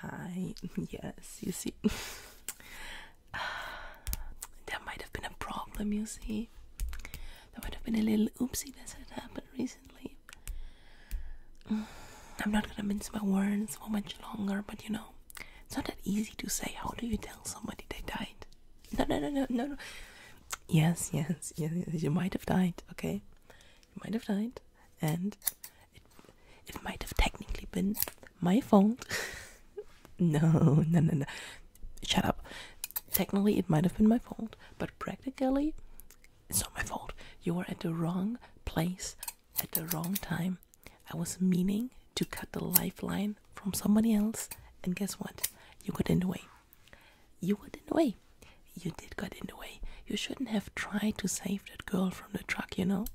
Hi, yes, you see, that might have been a problem, you see. There might have been a little oopsie that had happened recently. I'm not gonna mince my words for much longer, but you know, it's not that easy to say. How do you tell somebody they died? No, no, no, no, no, no. Yes, yes, yes, you might have died, okay? might have died, and it, it might have technically been my fault. no, no, no, no. Shut up. Technically, it might have been my fault, but practically, it's not my fault. You were at the wrong place at the wrong time. I was meaning to cut the lifeline from somebody else, and guess what? You got in the way. You got in the way. You did got in the way. You shouldn't have tried to save that girl from the truck, you know?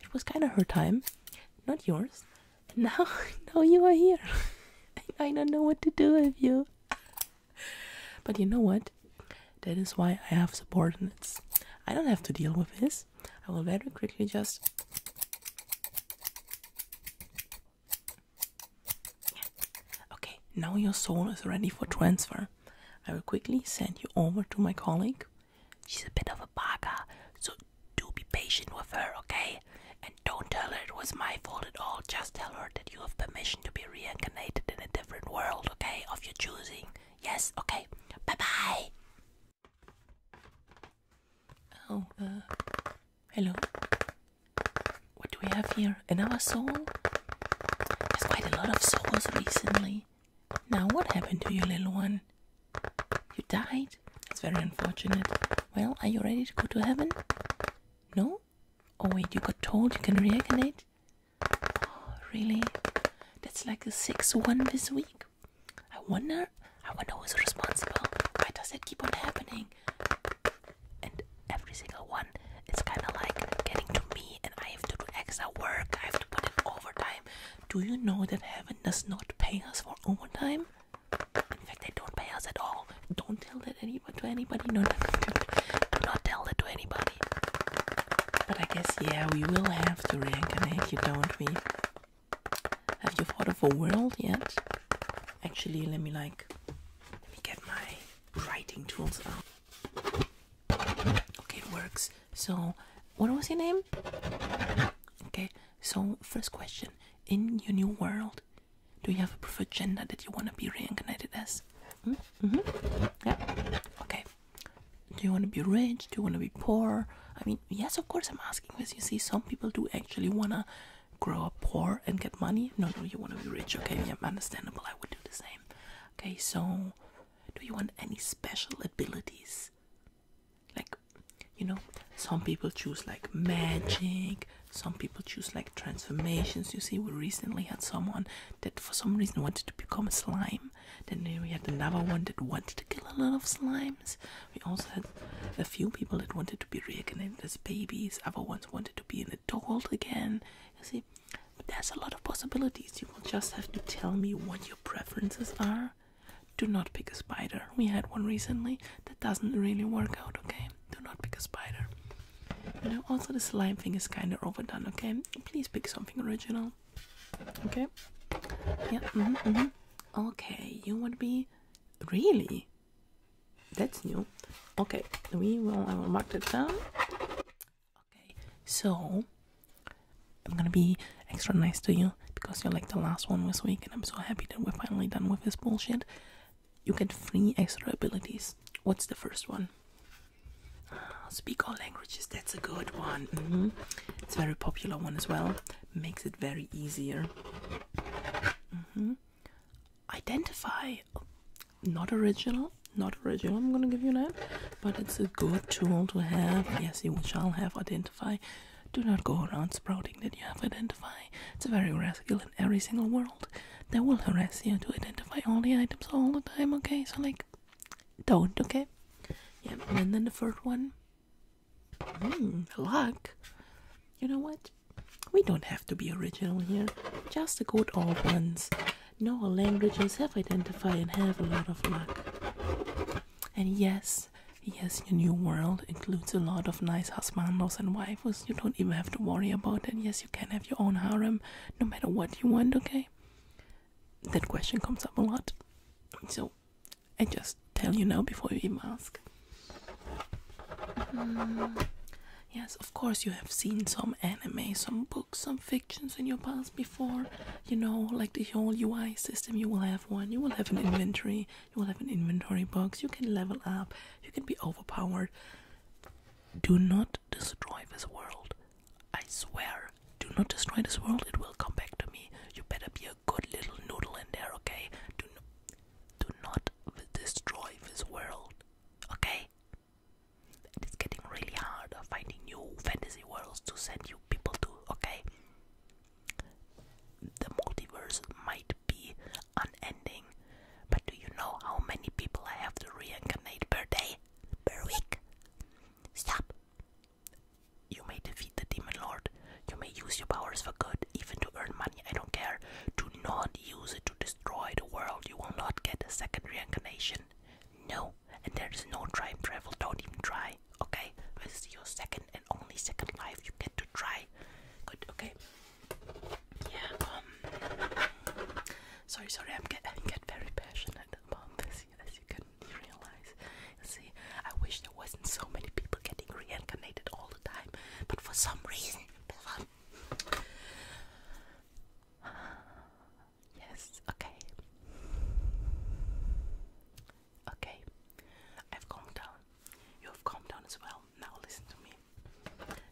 It was kind of her time, not yours. And now, now you are here. I don't know what to do with you. but you know what? That is why I have subordinates. I don't have to deal with this. I will very quickly just Okay, now your soul is ready for transfer. I will quickly send you over to my colleague. She's a bit of a barker, so do be patient with her, okay? And don't tell her it was my fault at all. Just tell her that you have permission to be reincarnated in a different world, okay? Of your choosing. Yes, okay. Bye bye. Oh, uh, hello. What do we have here? Another soul? There's quite a lot of souls recently. Now, what happened to you, little one? You died? That's very unfortunate. Well, are you ready to go to heaven? No? Oh, wait, you got told you can reincarnate? Oh, really? That's like a 6 one this week. I wonder, I wonder who's responsible. Why does that keep on happening? and every single one it's kind of like getting to me and I have to do extra work I have to put in overtime do you know that heaven does not pay us for overtime in fact they don't pay us at all don't tell that to anybody no, no, no, do not tell that to anybody but I guess yeah we will have to reincarnate you don't we have you thought of a world yet actually let me like let me get my writing tools out. Okay, it works. So, what was your name? Okay, so first question. In your new world, do you have a preferred gender that you want to be reincarnated as? Mm -hmm. Mm-hmm. Yeah. Okay. Do you want to be rich? Do you want to be poor? I mean, yes, of course, I'm asking this. You see, some people do actually want to grow up poor and get money? No, no, you want to be rich. Okay, understandable. I would do the same. Okay, so do you want any special abilities? Like, you know, some people choose like magic, some people choose like transformations. You see, we recently had someone that for some reason wanted to become a slime, then we had another one that wanted to kill a lot of slimes. We also had a few people that wanted to be re reincarnated as babies, other ones wanted to be an adult again. You see, there's a lot of possibilities. You will just have to tell me what your preferences are. Do not pick a spider. We had one recently that doesn't really work out, okay? Do not pick a spider. You know, also the slime thing is kind of overdone, okay? Please pick something original. Okay? Yeah, mm-hmm, mm-hmm. Okay, you would be. Really? That's new. Okay, we will. I will mark that down. Okay, so I'm gonna be extra nice to you because you're like the last one this week, and I'm so happy that we're finally done with this bullshit. You get three extra abilities. What's the first one? Ah, speak all languages. That's a good one. Mm-hmm. It's a very popular one as well. Makes it very easier. Mm-hmm. Identify, not original, not original. I'm gonna give you that, but it's a good tool to have. Yes, you shall have identify. Do not go around sprouting that you have identify. It's a very rare skill in every single world. They will harass you to identify all the items all the time. Okay, so like, don't. Okay. Yeah, and then the first one Hmm, luck. You know what? We don't have to be original here. Just the good old ones. No languages have identified and have a lot of luck. And yes, yes, your new world includes a lot of nice husbandos and wives. You don't even have to worry about it. Yes, you can have your own harem, no matter what you want. Okay. That question comes up a lot. So I just tell you now before you even ask. Mm, yes, of course, you have seen some anime, some books, some fictions in your past before. You know, like the whole UI system, you will have one, you will have an inventory, you will have an inventory box, you can level up, you can be overpowered. Do not destroy this world. I swear, do not destroy this world, it will come back to me. You better be a good little noodle in there, okay? Do, do not destroy this world, okay? It's getting really hard finding new fantasy worlds to send you people to, okay? The multiverse might be unending, but do you know how many people I have to reincarnate per day? Per week? Stop! You may defeat the Demon Lord. You may use your powers for good, even to earn money. I don't care. Do not use it to destroy the world. You will not get a second reincarnation. No, and there is no time travel. Don't even try. Okay, this is your second and only second life. You get to try. Good. Okay. Yeah. Um. Sorry, sorry. I'm get get very passionate about this, as you can realize. See, I wish there wasn't so many people getting reincarnated all the time, but for some reason. Yes, okay. Okay, I've calmed down. You have calmed down as well. Now listen to me.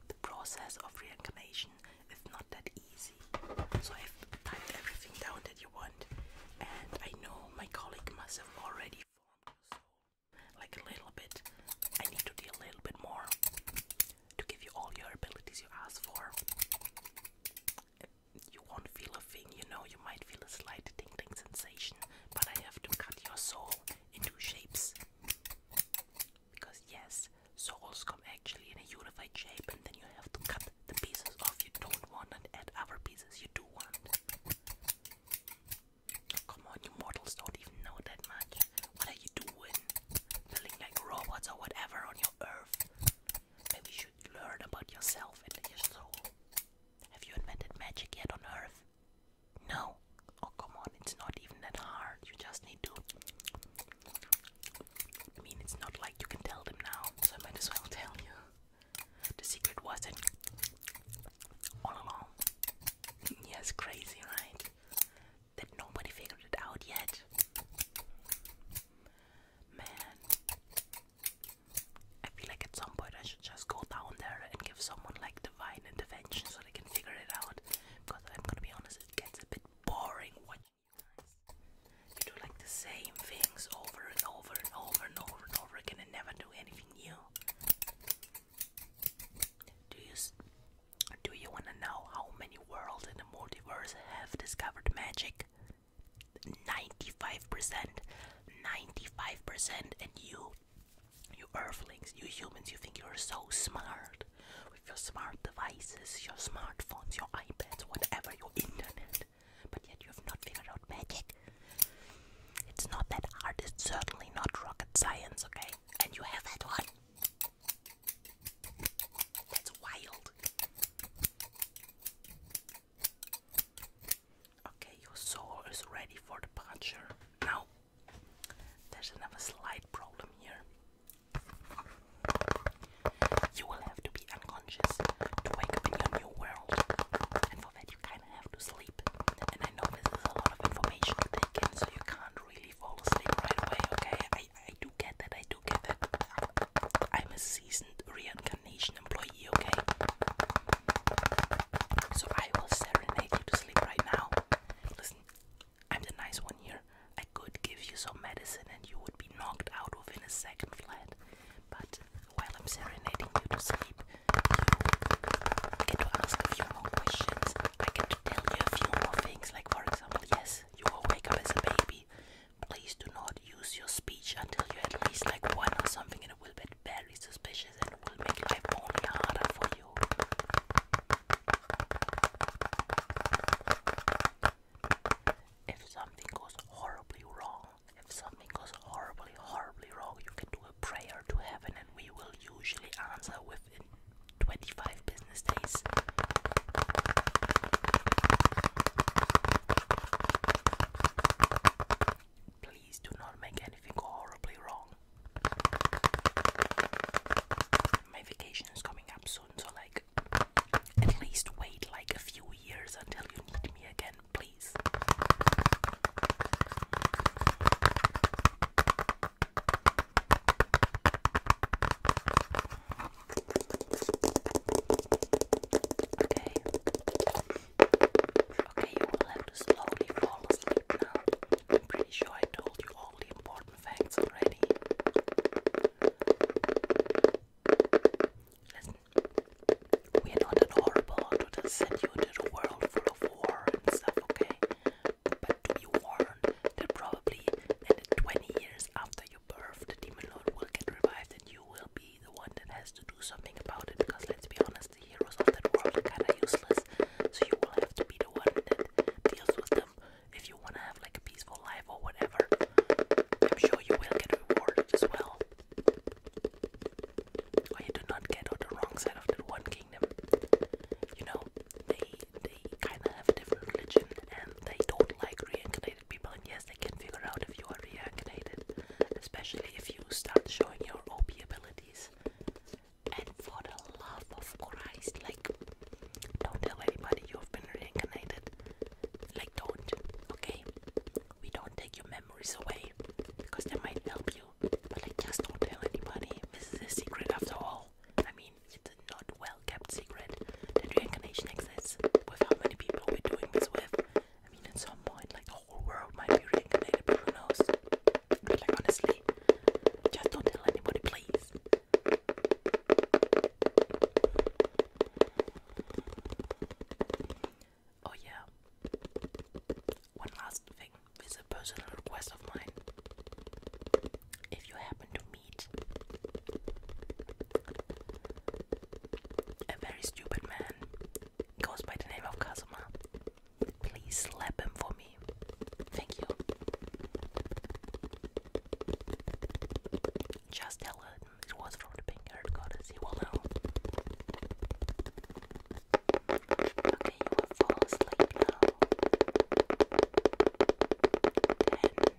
The process of reincarnation is not that easy. So I've typed everything down that you want, and I know my colleague must have already formed your soul. Like a little bit, I need to do a little bit more to give you all your abilities you asked for. You won't feel a thing, you know, you might feel a slight tingling sensation, but I have to cut your soul into shapes. Because, yes, souls come actually in a unified shape, and then you have to cut the pieces off you don't want and add other pieces you do want. come on, you mortals don't even know that much. What are you doing? Building like robots or whatever on your earth. Maybe you should learn about yourself and your soul. Have you invented magic yet on earth? No. Oh, come on, it's not even that hard. You just need to I mean, it's not like you can tell them now, so I might as well tell you. The secret wasn't all along. yes, crazy, right? That nobody figured it out yet. Man, I feel like at some point I should just go down there and give someone like divine intervention so they can figure it out. Because I'm gonna be honest, it gets a bit boring What? You do like the same things over and over and over and over and over again and never do anything new. Do you do you want to know how many worlds in the multiverse have discovered magic? 95%. 95% and you you earthlings, you humans, you think you're so smart your smart devices, your smartphones, your iPads, whatever, your internet, but yet you have not figured out magic. It's not that hard, it's certainly not rocket science, okay? And you have that one. That's wild. Okay, your soul is ready for the departure. Now, there's another slight problem here. You will have to be unconscious to wake up in your new world, and for that, you kind of have to sleep. And I know this is a lot of information to so you can't really fall asleep right away, okay? I, I do get that, I do get that. I'm a seasoned reincarnation employee, okay? So I will serenade you to sleep right now. Listen, I'm the nice one here. I could give you some medicine and you would be knocked out of in a second flat. But while I'm serenading you to sleep, you get to ask a few more questions. I can tell you a few more things, like for example, yes, you will wake up as a baby. Please do not use your speech until you at least like one or something, and it will be very suspicious and it will make life only harder for you. If something goes horribly wrong, if something goes horribly, horribly wrong, you can do a prayer to heaven and we will usually answer within 25 business days. Please do not make anything horribly wrong. My vacation is coming up soon, so like at least wait like a few years until you need me again, please. Okay. Okay, you will have to slowly fall asleep now. I'm pretty sure I told you all all the important facts already. Listen, we are not that horrible to send you into the world full of war and stuff, okay? But do be warned that probably in 20 years after your birth, the demon lord will get revived and you will be the one that has to do something about it because let's be honest, the heroes of that world are kinda useless, so you will have to be the one that deals with them if you wanna have like a peaceful life or whatever. I'm sure you will get rewarded as well. Or you do not get on the wrong side of that one kingdom. You know, they they kinda have a different religion and they don't like reincarnated people and yes they can figure out if you are reincarnated. Especially if you start showing your OP abilities. And for the love of Christ, like, don't tell anybody you've been reincarnated. Like, don't, okay? We don't take your memories away because they might help you, but like, just don't tell anybody. This is a secret after all. I mean, it's a not well kept secret that reincarnation exists with how many people we're doing this with. I mean, at some point, like, whole world might be reincarnated, but who knows? like honestly, just don't tell anybody, please. Oh yeah. One last thing is a personal request of mine. If you happen to meet a very stupid man goes by the name of Kazuma. Please slap him for me. Thank you. Just tell him it was from the pink haired goddess. He will know. Okay, you will fall asleep now. Ten, nine,